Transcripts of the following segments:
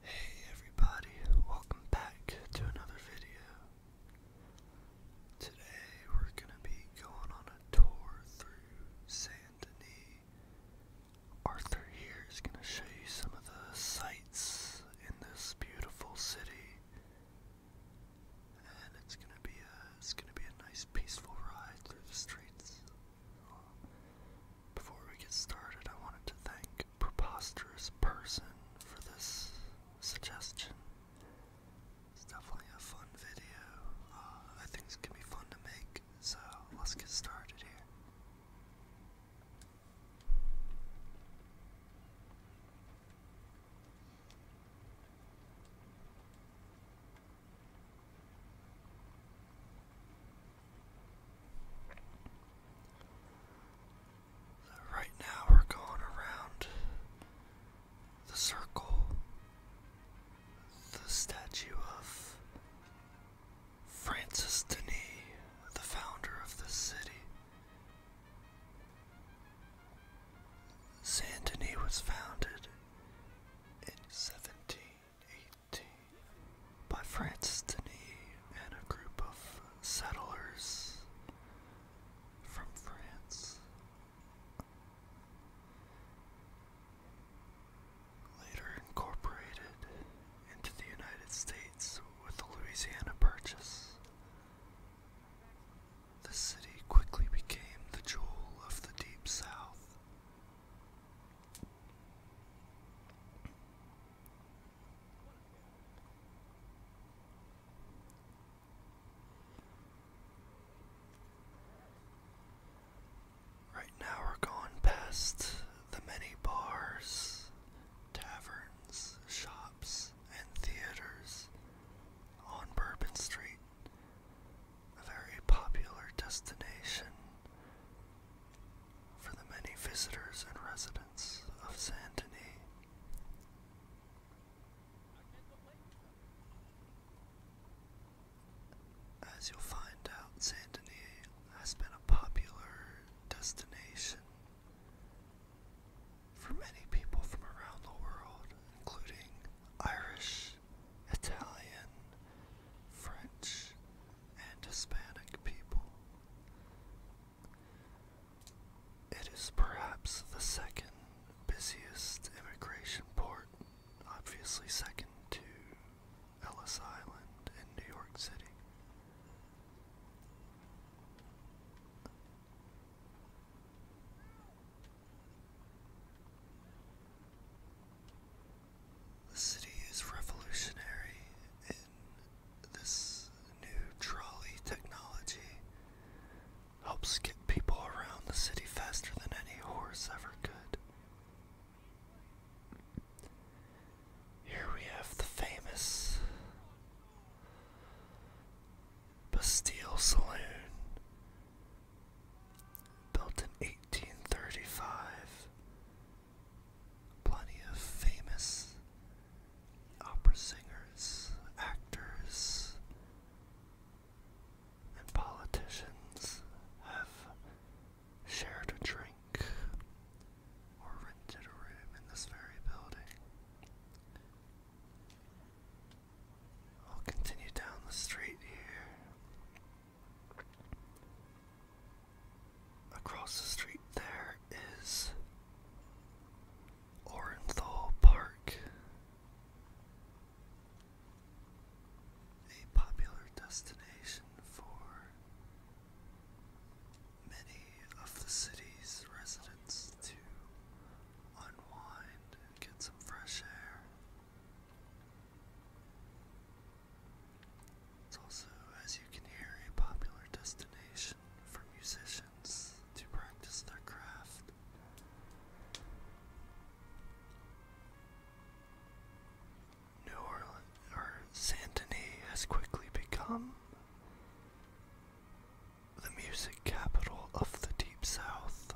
Hey everybody, welcome back to another video. Today we're going to be going on a tour through San Denis. Arthur here is going to show you some of the sights in this beautiful city, and it's gonna be a it's gonna be a nice peaceful ride through the streets. Before we get started, I wanted to thank Preposterous Person for this suggestion. It's definitely a fun video. Uh, I think it's gonna be fun to make. So let's get started here. Right now, we're going around the circle, the statue of Francis Denis, the founder of the city. Saint Denis was founded in 1718 by Francis Denis and a group of settlers from France. Later incorporated into the United States with the Louisiana Purchase. The city quickly became the jewel of the Deep South. Right now we're going past the many bars, taverns, shops, and theaters on Bourbon Street, a very popular destination for the many visitors and residents of San Denis. As you'll find out, San Denis has been a popular destination for many people from around the world, including Irish, Italian, French, and Hispanic people, it is perhaps the second busiest immigration port, obviously second to Ellis Island in New York City. The city is revolutionary in this new trolley technology. Helps get people around the city faster than any horse ever could. Here we have the famous Bastille Saloon, built in 1835. Plenty of famous opera singers, actors, and politicians have shared a drink or rented a room in this very building. I'll continue down the street here. Across the street there is Orenthal Park, a popular destination for many of the city's residents to unwind get some fresh air. It's also, as you can hear, a popular destination for musicians to practice their craft. New Orleans or Saint Denis has quickly become the music capital of the Deep South.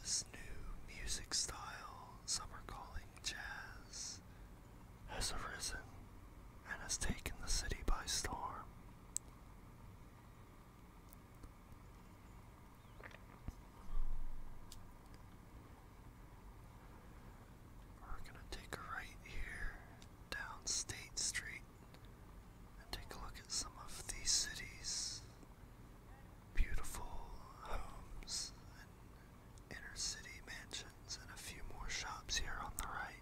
This new music style, some are calling jazz, has arisen and has taken the city by storm. We're gonna take a right here down State Street and take a look at some of these city's beautiful homes and inner city mansions and a few more shops here on the right.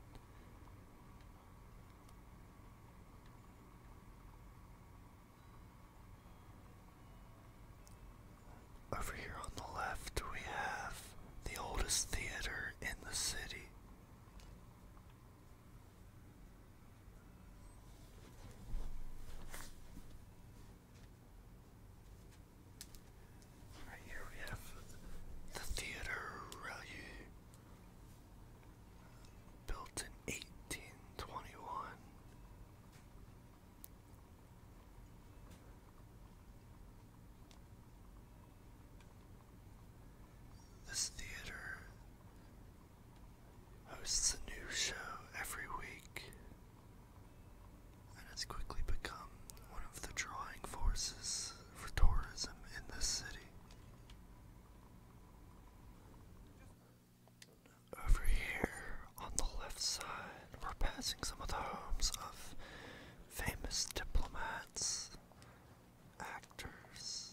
Over here on the left, we have the oldest theater in the city. Right here we have the Theater Relu, built in 1821. This theater hosts a new show every week and has quickly become one of the drawing forces for tourism in this city. Over here on the left side, we're passing some of the homes of famous diplomats, actors,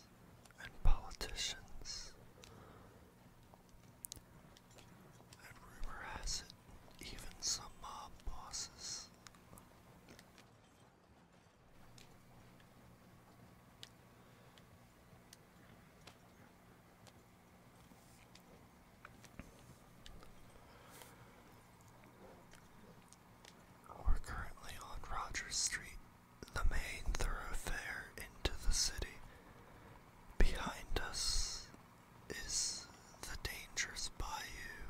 and politicians. And rumor has it, even some mob bosses. We're currently on Rogers Street, the main thoroughfare into the city. Behind us is the dangerous bayou.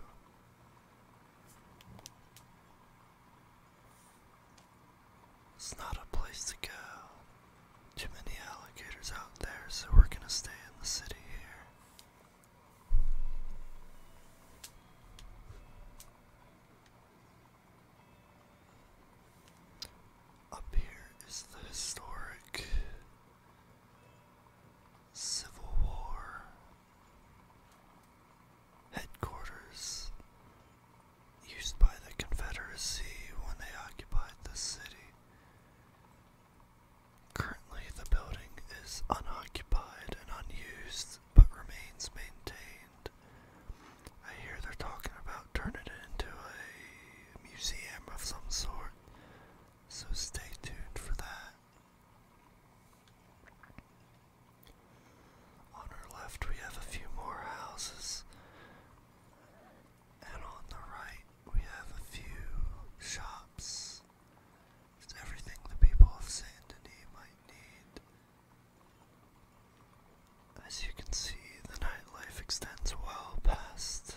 It's not a place to go. Too many alligators out there, so we're gonna stay in the city here. Up here is the historic Civil War headquarters used by the Confederacy when they occupied the city. Currently, the building is unoccupied and unused, but remains maintained. I hear they're talking about turning it into a museum of some sort, so stay tuned for that. On our left, we have a few more houses. And on the right, we have a few shops. everything the people of Saint Denis might need. As you can see, the nightlife extends well past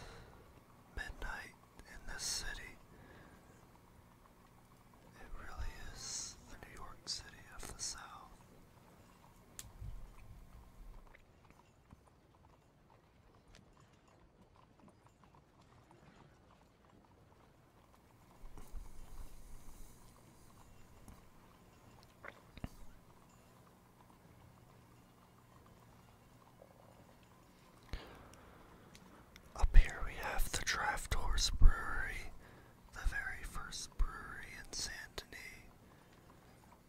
midnight in this city. It really is the New York City of the South. Up here we have the Draft Horse Brewery, the very first brewery in Saint Denis.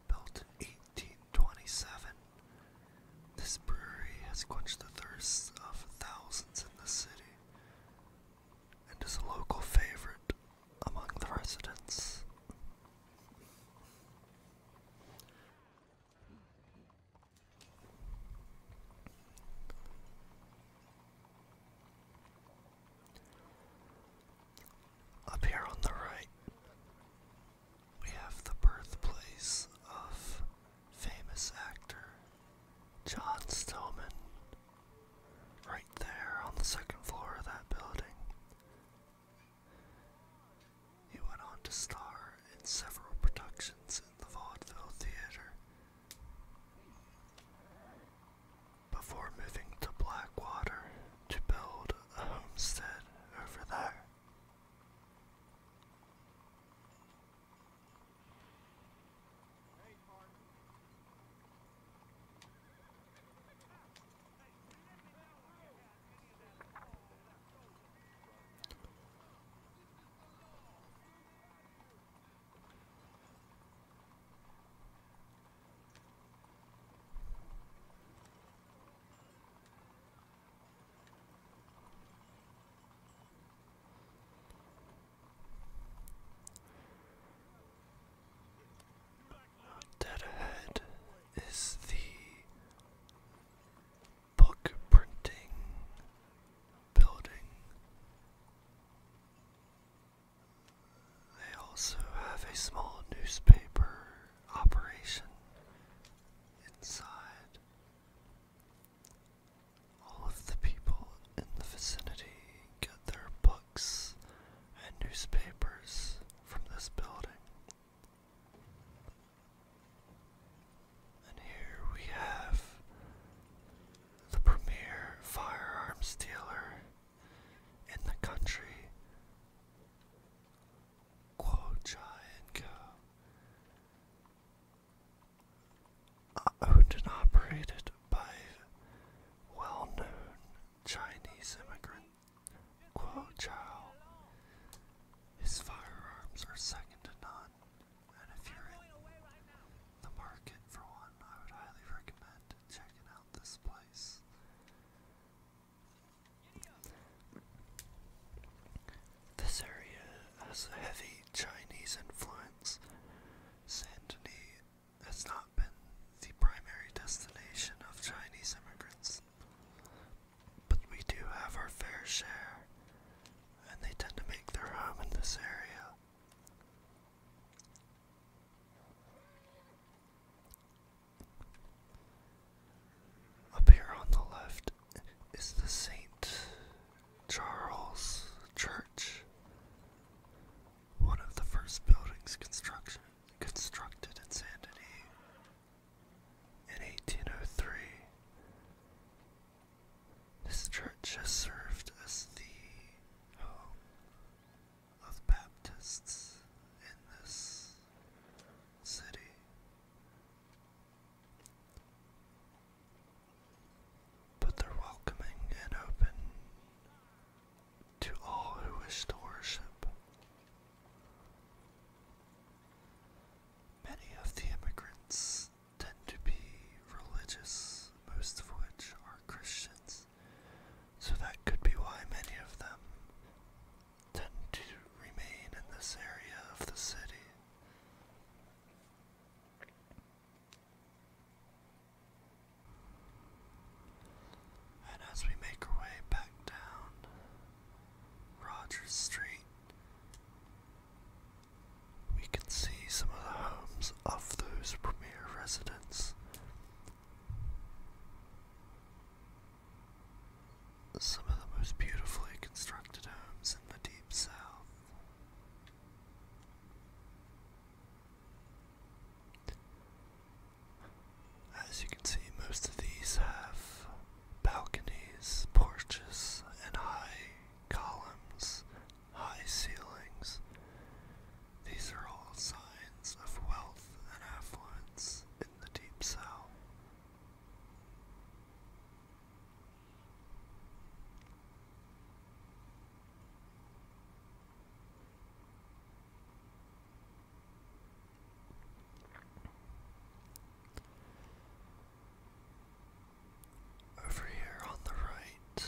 Built in 1827, this brewery has quenched the thirsts of thousands in the city and is a local favorite among the residents. Up here on the right, we have the birthplace of famous actor John Stillman. Right there on the second floor of that building. He went on to star in several productions in the Vaudeville Theater before moving to Blackwater to build a homestead over there. Dead ahead is the book printing building. They also have a small newspaper operation inside. All of the people in the vicinity get their books and newspapers from this building. And here we have the premier firearms dealer in the country. Guo Chai and Co. Uh, Owned and operated by well known Chinese immigrant Guo Chao. His firearms are second to none, and if you're in the market for one, I would highly recommend checking out this place. This area has a heavy Chinese influence. Sandini has not been the primary destination of Chinese immigrants, but we do have our fair share, and they tend to make their home in this area. Up here on the left is the St. Charles Church, one of the first buildings construction, constructed in Sandinny in 1803. This church has served as the home of Baptists in this city. But they're welcoming and open to all who wish to worship. Many of the immigrants tend to be religious, most of which are Christians so that could be why many of them tend to remain in this area of the city. And as we make our way back down Rogers Street, we can see some of the homes of those premier residents some of the most beautifully constructed homes in the Deep South. As you can see, most of these have balconies, porches, and high columns, high ceilings, these are all signs of wealth and affluence in the Deep South. Over here on the right,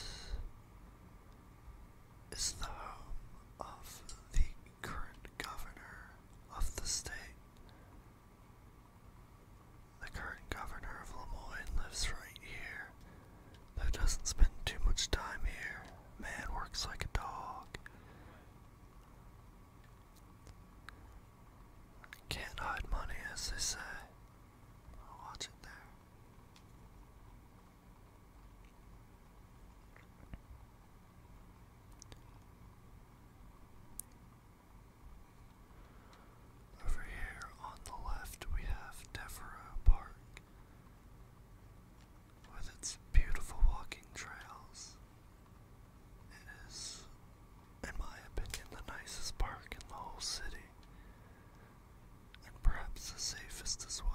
is the home of the current governor of the state. The current governor of Lemoyne lives right here, though doesn't spend too much time here. Man works like a dog. Can't hide money, as they say. watch it there. Over here on the left, we have Devereux Park with its beautiful walking trails. It is, in my opinion, the nicest park in the whole city and perhaps the safest as well.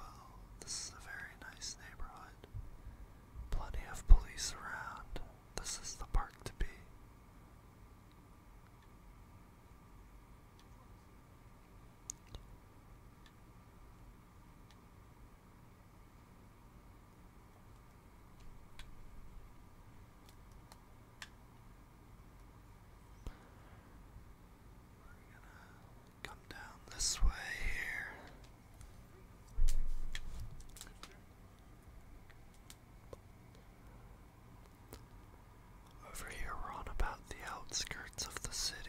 This is a very nice neighborhood. Plenty of police around. This is the park to be. Come down this way here. Over here, we're on about the outskirts of the city.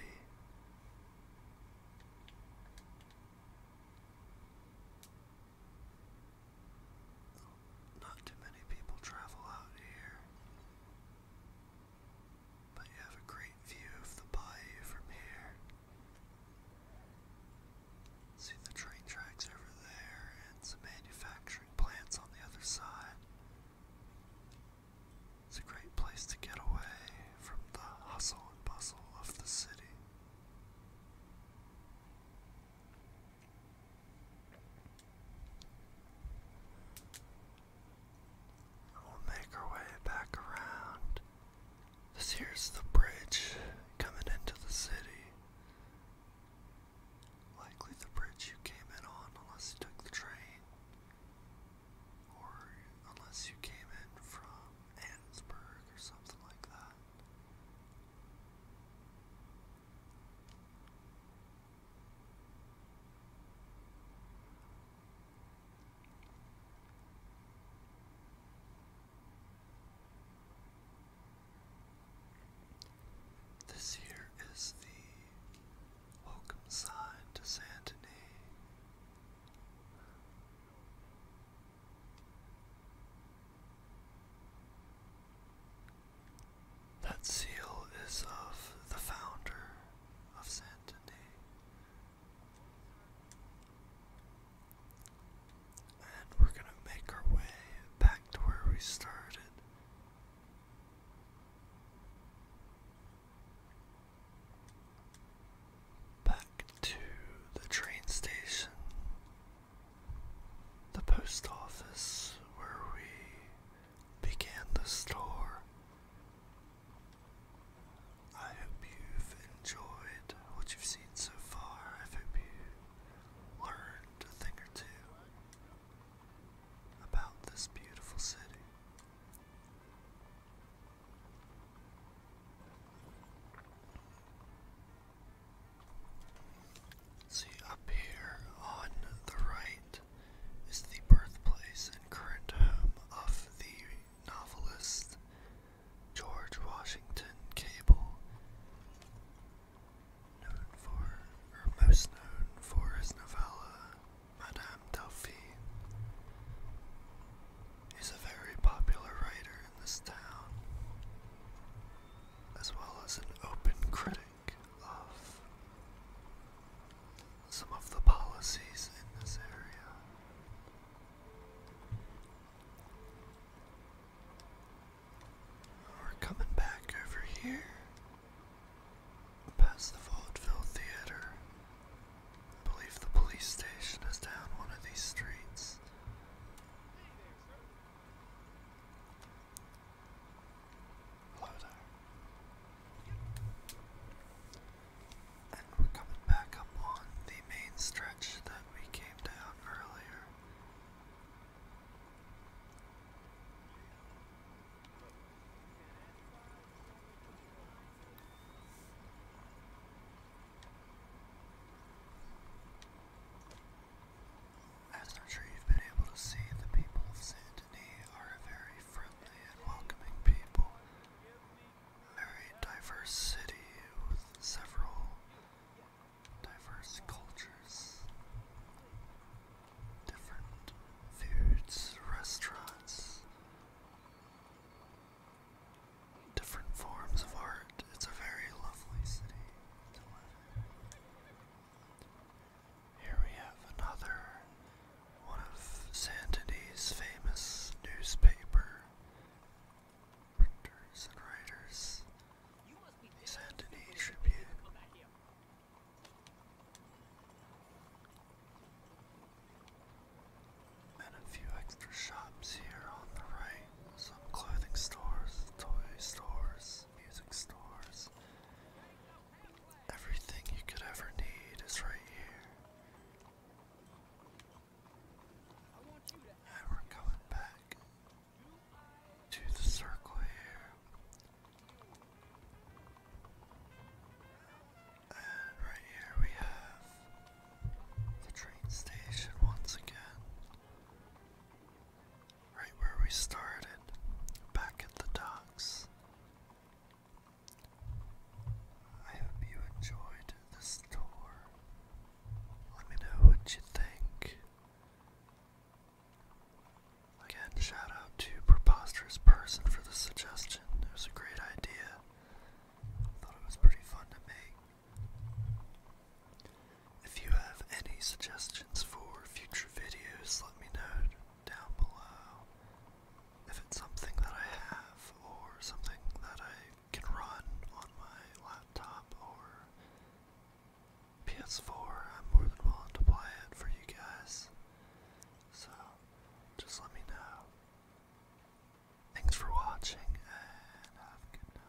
Not too many people travel out here. But you have a great view of the bayou from here. See the train tracks over there and some manufacturing plants on the other side. It's a great place to get away from the hustle and bustle of the city we'll make our way back around. This here's the bridge coming into the city. Likely the bridge you came in on, unless you took the train. Or unless you came in from Annesburg or something like that. This here is the welcome sign to Saint Denis. That seal is of the founder of Santander. And we're going to make our way back to where we started. Back to the train station, the post office where we began the store, I hope you've enjoyed what you've seen so far. I hope you learned a thing or two about this beautiful city. See up here on the right, is the birthplace and current home of the novelist George Washington Cable, known for, or most known for his novella Madame Delphine. He's a very popular writer in this town, as well as an open critic of some of the policies in this area. We're coming back over here past the Vaudeville Theater. I believe the police station is down one of these streets. And we're coming back up on the main stretch that we came down earlier. I'm sure you've been able to see, the people of Saint are a very friendly friendly and welcoming people. Very diverse city with several diverse cultures, different foods, restaurants, different forms of art. It's a very lovely city here we have another one of Santini's famous newspaper printers and writers, the Santini Tribune. And a few extra shops here on the right. Some clothing stores, toy stores, music stores, Everything you could ever need is right here. we're coming back to the circle here. And right here we have the train station once again. Right where we started, back at the docks. I hope you enjoyed this tour. Let me know what you think. Again, shout out to Preposterous Person for the suggestion. It was a great idea. Thought it was pretty fun to make. If you have any suggestions for future videos, let me know down below if it's something that I have or something that I can run on my laptop or PS4. I'm more than willing to play it for you guys. So just let me know. Thanks for watching and have a good night.